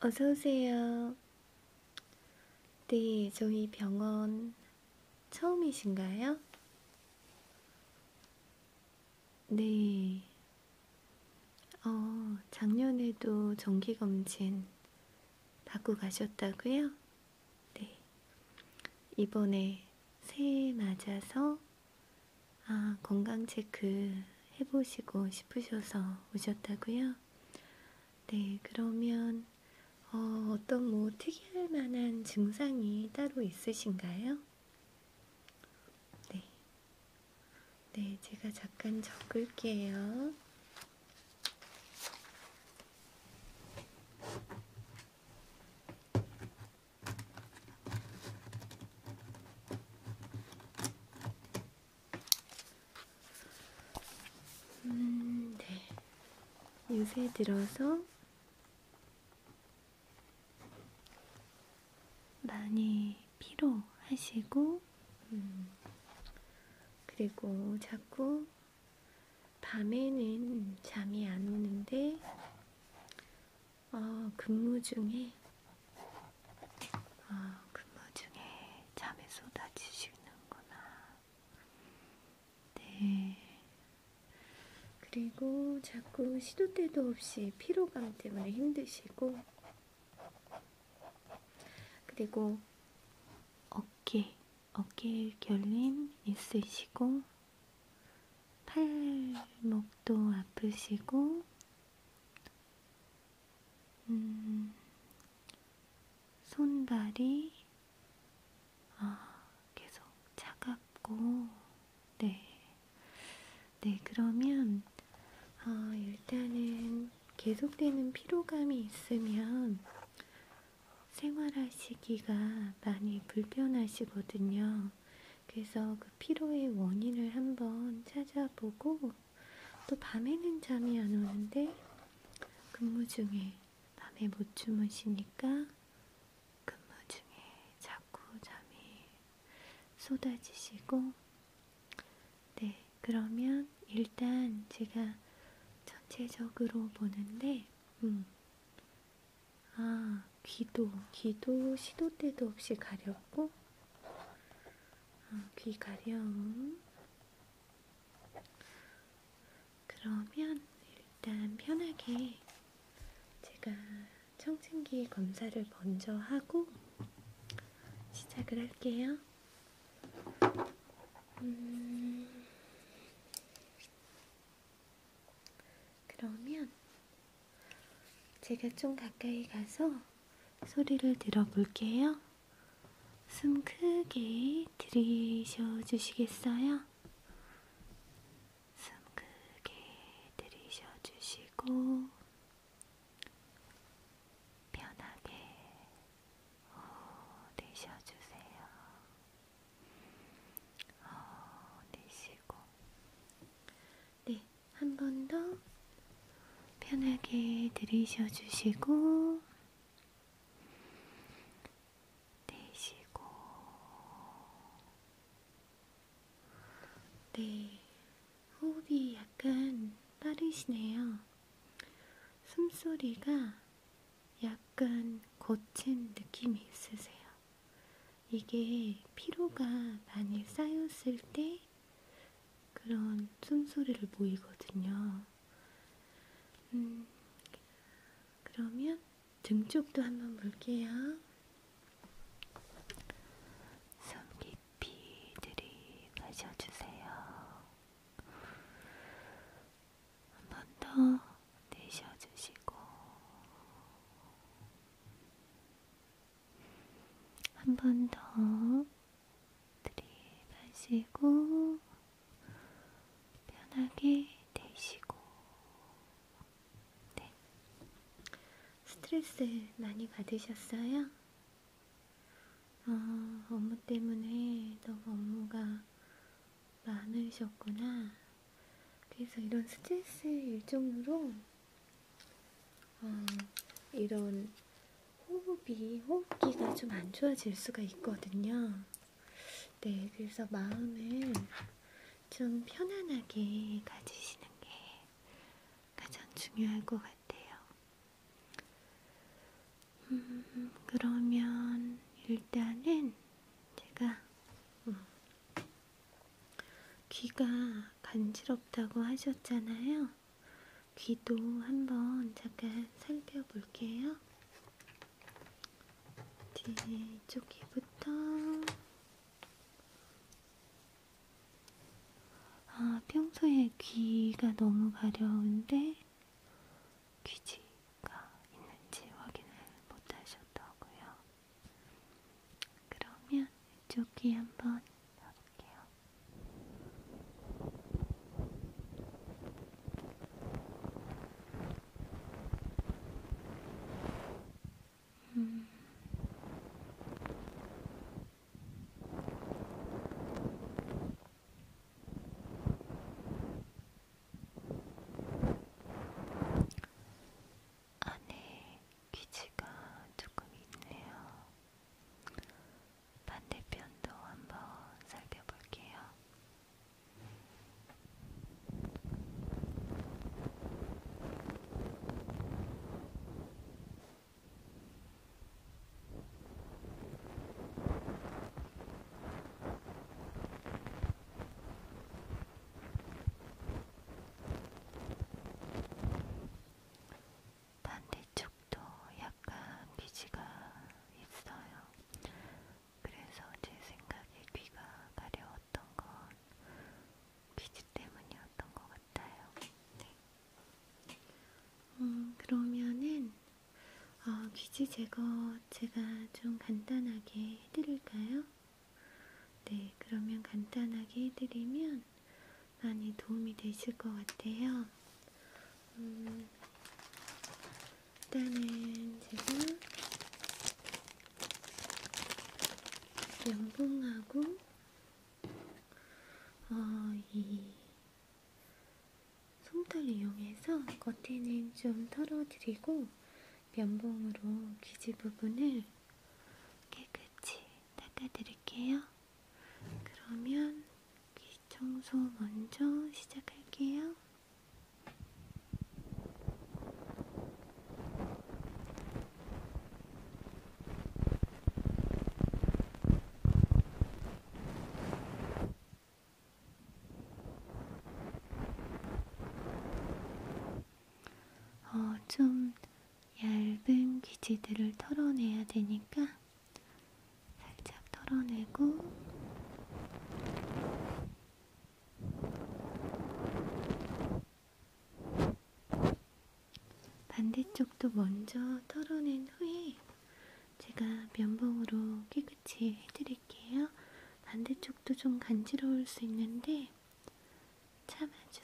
어서오세요. 네, 저희 병원 처음이신가요? 네. 어, 작년에도 정기검진 받고 가셨다고요? 네. 이번에 새해 맞아서 아, 건강 체크 해보시고 싶으셔서 오셨다고요? 네, 그러면 어, 어떤 뭐 특이할 만한 증상이 따로 있으신가요? 네, 네, 제가 잠깐 적을게요. 음, 네. 요새 들어서 많이 피로하시고, 음, 그리고 자꾸 밤에는 잠이 안 오는데, 아, 근무 중에, 아, 근무 중에 잠에 쏟아지시는구나. 네. 그리고 자꾸 시도 때도 없이 피로감 때문에 힘드시고, 그리고 어깨, 어깨 결림 있으시고, 팔목도 아프시고, 음, 손발이 아, 계속 차갑고, 네. 네, 그러면 어, 일단은 계속되는 피로감이 있으면 생활하시기가 많이 불편하시거든요. 그래서 그 피로의 원인을 한번 찾아보고 또 밤에는 잠이 안 오는데 근무 중에 밤에 못 주무시니까 근무 중에 자꾸 잠이 쏟아지시고 네 그러면 일단 제가 전체적으로 보는데 음 아, 귀도, 귀도 시도 때도 없이 가렵고, 아, 귀 가려움. 그러면 일단 편하게 제가 청진기 검사를 먼저 하고 시작을 할게요. 음... 그러면 제가 좀 가까이 가서 소리를 들어볼게요. 숨 크게 들이셔 주시겠어요? 숨 크게 들이셔 주시고 편하게 호 내쉬어 주세요. 호 내쉬고 네, 한 번 더 편하게 들이셔 주시고 내쉬고 네, 호흡이 약간 빠르시네요. 숨소리가 약간 고친 느낌이 있으세요. 이게 피로가 많이 쌓였을 때 그런 숨소리를 보이거든요. 음, 그러면 등 쪽도 한번 볼게요. 숨 깊이 들이마셔주세요. 한 번 더 내쉬어주시고 한번더 들이마시고 편하게 내쉬고 네. 스트레스 많이 받으셨어요? 어, 업무 때문에 너무 업무가 많으셨구나. 그래서 이런 스트레스의 일종으로 어, 이런 호흡이 호흡기가 좀 안 좋아질 수가 있거든요. 네, 그래서 마음을 좀 편안하게 가지시는 게 가장 중요할 것 같아요. 음, 그러면 일단은 제가 음, 귀가 간지럽다고 하셨잖아요. 귀도 한번 잠깐 살펴볼게요. 뒤쪽 귀부터 아, 평소에 귀가 너무 가려운데 귀지가 있는지 확인을 못 하셨다고요. 그러면 이쪽 귀 한번 넣어볼게요. 음. 안에 귀지가 조금 있네요. 반대편도 한번 살펴볼게요. 반대쪽도 약간 비지가 있어요. 그래서 제 생각에 귀가 가려웠던 건 비지 때문이었던 것 같아요. 네. 음, 그러면은 어, 귀지 제거 제가 좀 간단하게 해드릴까요? 네, 그러면 간단하게 해드리면 많이 도움이 되실 것 같아요. 음, 일단은 제가 면봉하고 어, 이 솜털 이용해서 겉에는 좀 털어드리고 면봉으로 귀지 부분을 깨끗이 닦아드릴게요. 그러면 귀 청소 먼저 시작할게요. 어, 좀 얇은 귀지들을 털어내야 되니까 살짝 털어내고 반대쪽도 먼저 털어낸 후에 제가 면봉으로 깨끗이 해드릴게요. 드릴게요. 반대쪽도 좀 간지러울 수 있는데 참아주세요.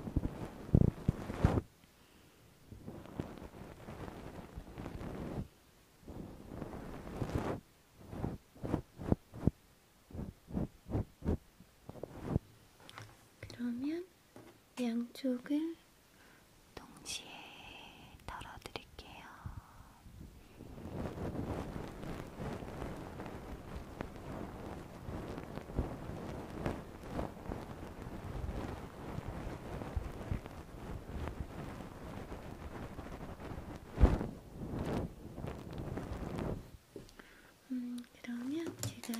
네, 그러면 양쪽을 동시에 덜어드릴게요. 음, 그러면 제가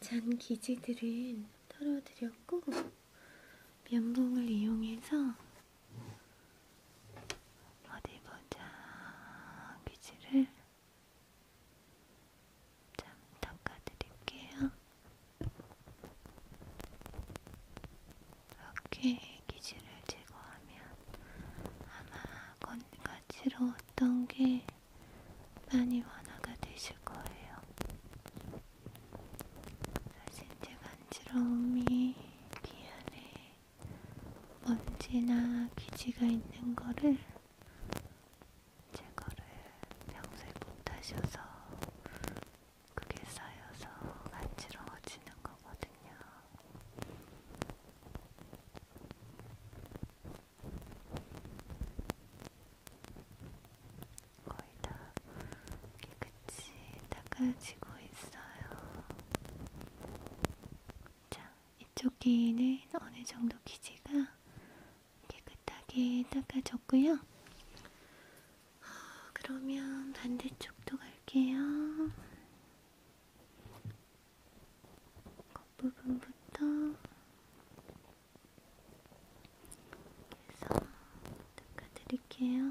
잔 기지들은 털어드렸고, 면봉을 이용해서 어디 보자, 기지를 좀 닦아드릴게요. 이렇게 기질을 제거하면 아마 건가 지러웠던 게 많이 완화가 되실 거예요. 사실 제 간지러움이 귀 안에 먼지나 기지가 있는 거를 제거를 평소에 못하셔서 그게 쌓여서 간지러워지는 거거든요. 거의 다 깨끗이 닦아지고 있어요. 자, 이쪽 귀는 어느 정도 기지가 깨끗하게 닦아줬고요. 어, 그러면 반대쪽도 갈게요. 겉부분부터 해서 닦아드릴게요.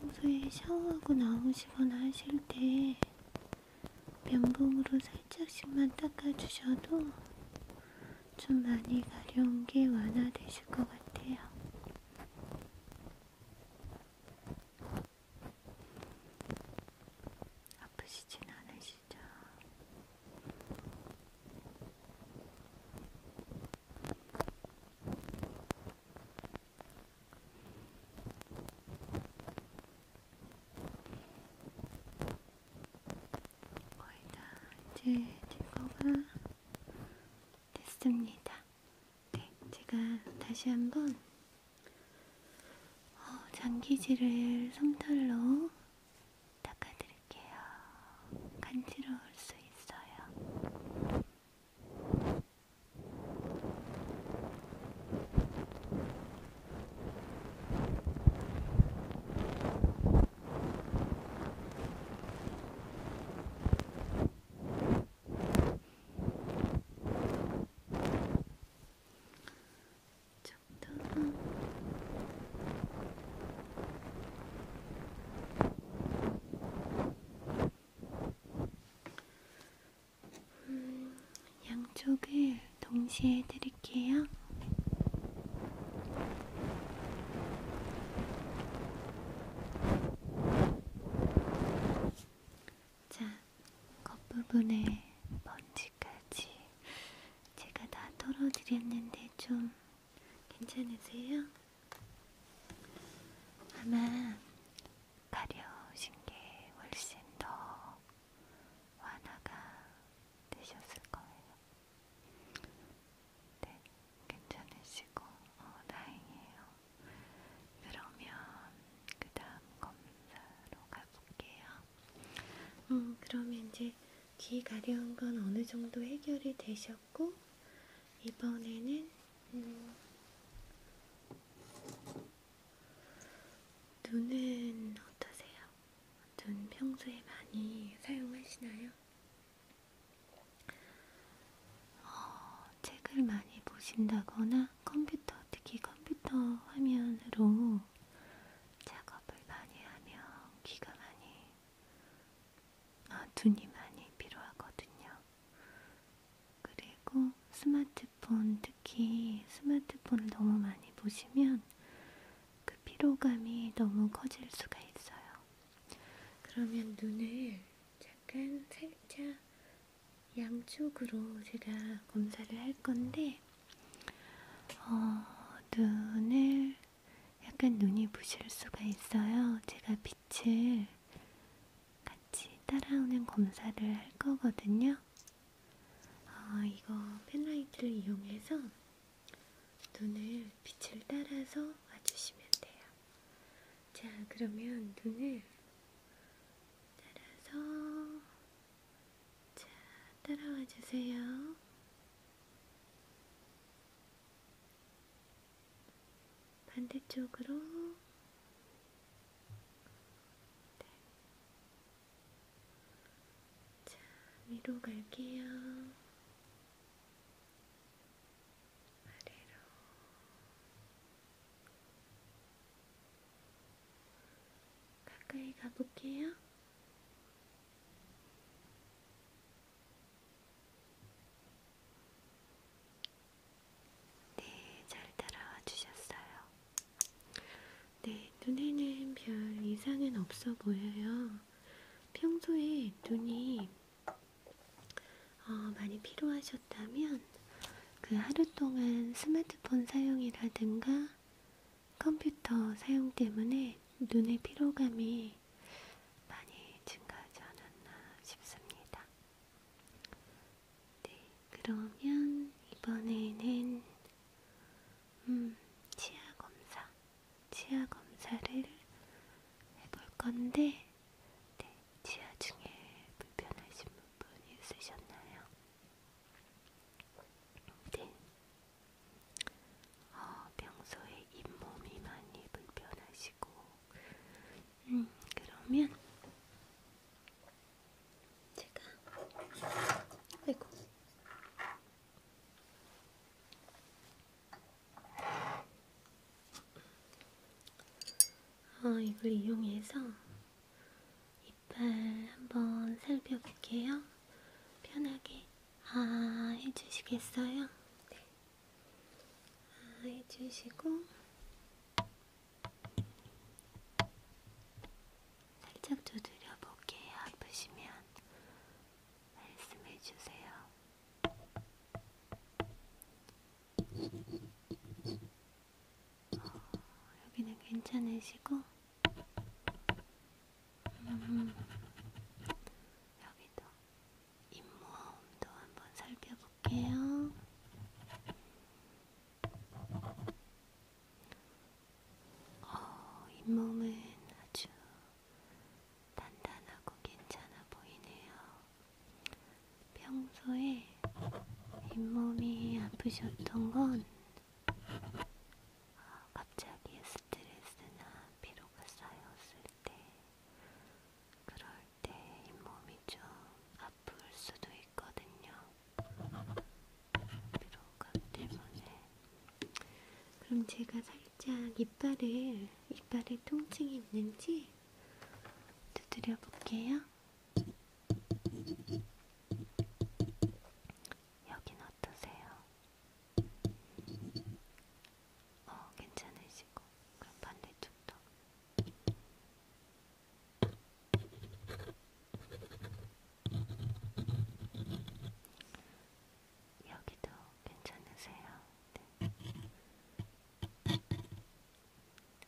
평소에 샤워하고 나오시거나 하실 때 면봉으로 살짝씩만 닦아주셔도 좀 많이 가려운 게 완화되실 것 같아요. 아프시진 않으시죠? 거의 다 이제 제거가 됐습니다. 네, 제가 다시 한번 어, 장기질을 솜털로 닦아드릴게요. 간지러울 수 있어요. 적당한 음, 양쪽을 동시에 드릴게요. 자, 겉부분에 먼지까지 제가 다 털어드렸는데 좀 괜찮으세요? 아마 가려우신 게 훨씬 더 완화가 되셨을 거예요. 네, 괜찮으시고 어, 다행이에요. 그러면 그 다음 검사로 가볼게요. 음, 그러면 이제 귀 가려운 건 어느 정도 해결이 되셨고 이번에는 음, 눈은 어떠세요? 눈 평소에 많이 사용하시나요? 어, 책을 많이 보신다거나 컴퓨터, 특히 컴퓨터 화면으로 작업을 많이 하면 귀가 많이, 아, 눈이 많이 필요하거든요. 그리고 스마트 핸드폰, 특히 스마트폰을 너무 많이 보시면 그 피로감이 너무 커질 수가 있어요. 그러면 눈을 잠깐 살짝 양쪽으로 제가 검사를 할 건데, 어, 눈을 약간 눈이 부실 수가 있어요. 제가 빛을 같이 따라오는 검사를 할 거거든요. 어, 이거 펜라이트를 이용해서 눈을 빛을 따라서 와주시면 돼요. 자, 그러면 눈을 따라서 자, 따라와 주세요. 반대쪽으로 네. 자, 위로 갈게요. 아래로. 가까이 가볼게요. 네, 잘 따라와 주셨어요. 네, 눈에는 별 이상은 없어 보여요. 평소에 눈이 어, 많이 피로하셨다면 그 하루 동안 스마트폰 사용이라든가 컴퓨터 사용 때문에 눈의 피로감이 많이 증가하지 않았나 싶습니다. 네, 그러면 이번에는 음, 치아 검사, 치아 검사를 해볼 건데, 네, 치아 중에 불편하신 부분이 있으셨나요? 네. 어, 평소에 잇몸이 많이 불편하시고, 음, 그러면 제가 아이고 어, 이걸 이용해서 이빨 한번 살펴볼게요. 편하게 아 해주시겠어요? 네. 아 해주시고 살짝 두드려 볼게요. 아프시면 말씀해 주세요. 어, 여기는 괜찮으시고, 음, 여기도 입모음도 한번 살펴볼게요. 볼게요. 어, 잇몸은 아주 단단하고 괜찮아 보이네요. 평소에 잇몸이 아프셨던 건 어, 갑자기 스트레스나 피로가 쌓였을 때 그럴 때 잇몸이 좀 아플 수도 있거든요. 피로가 때문에. 그럼 제가 살짝 이빨을, 이빨에 통증이 있는지 두드려 볼게요. 여긴 어떠세요? 어, 괜찮으시고. 그럼 반대쪽도. 여기도 괜찮으세요? 네.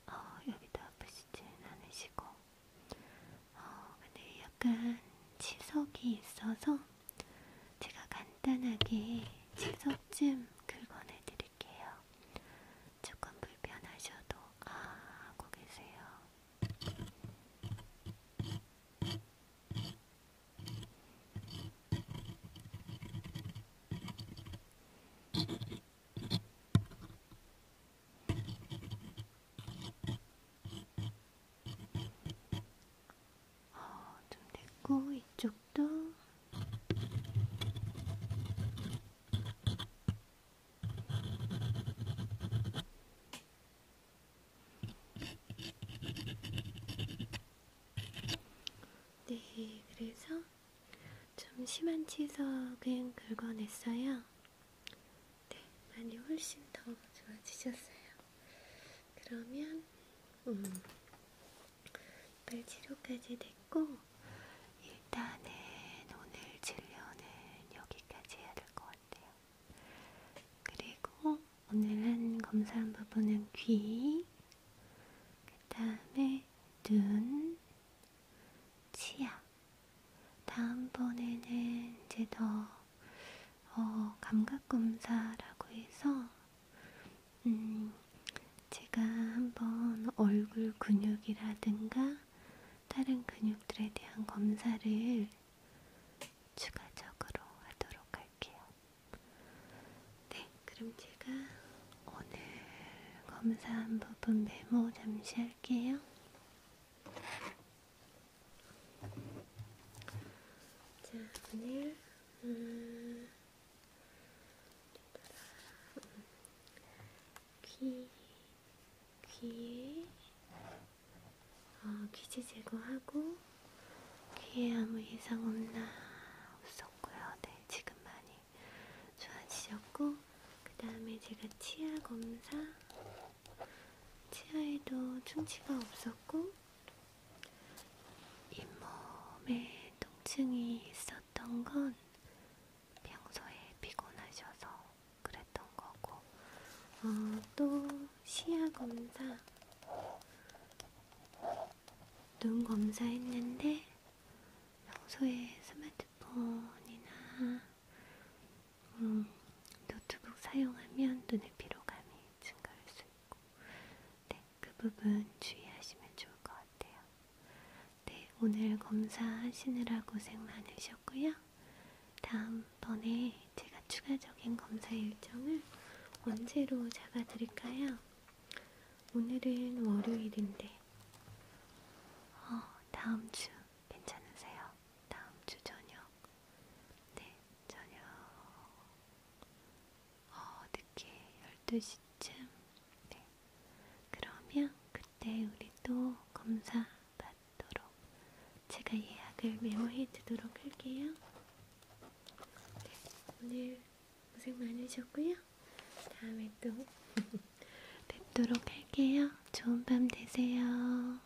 어, 여기도 아프시진 않으시고, 어, 근데 약간 치석이 있어서 제가 간단하게 치석쯤 긁어내드릴게요. 드릴게요. 조금 불편하셔도 아 하고 계세요. 어, 좀 됐고 이쪽 이것도 네, 그래서 좀 심한 치석은 긁어냈어요. 네, 많이 훨씬 더 좋아지셨어요. 그러면 음, 이빨 치료까지 됐고 일단은 오늘 진료는 여기까지 해야 될 것 같아요. 그리고 오늘은 검사한 부분은 귀, 그 다음에 눈, 치아. 다음번에는 이제 더 어, 감각 검사라고 해서 음, 제가 한번 얼굴 근육이라든가 다른 근육들에 대한 검사를 추가적으로 하도록 할게요. 네, 그럼 제가 오늘 검사한 부분 메모 잠시 할게요. 자, 오늘 음, 귀, 귀에, 어, 아, 귀지 제거하고, 귀에 아무 이상 없나? 없었고요. 네, 지금 많이 좋아지셨고, 그 다음에 제가 치아 검사, 치아에도 충치가 없었고, 잇몸에 통증이 있었는데, 아팠던 건 평소에 피곤하셔서 그랬던 거고, 어, 또 시야 검사, 눈 검사했는데 평소에 스마트폰이나 음, 노트북 사용하면 눈의 피로감이 증가할 수 있고, 네그 부분 주의하시면 좋을 것 같아요. 네, 오늘 검사하시느라 고생 많으셨고요. 다음번에 제가 추가적인 검사 일정을 언제로 잡아드릴까요? 오늘은 월요일인데, 어, 다음 주 괜찮으세요? 다음 주 저녁. 네, 저녁. 어, 늦게 12시쯤. 네. 그러면 그때 우리 또 검사 받도록 제가 예약을 메모해 두도록 할게요. 네. 오늘 고생 많으셨고요. 다음에 또 뵙도록 할게요. 좋은 밤 되세요.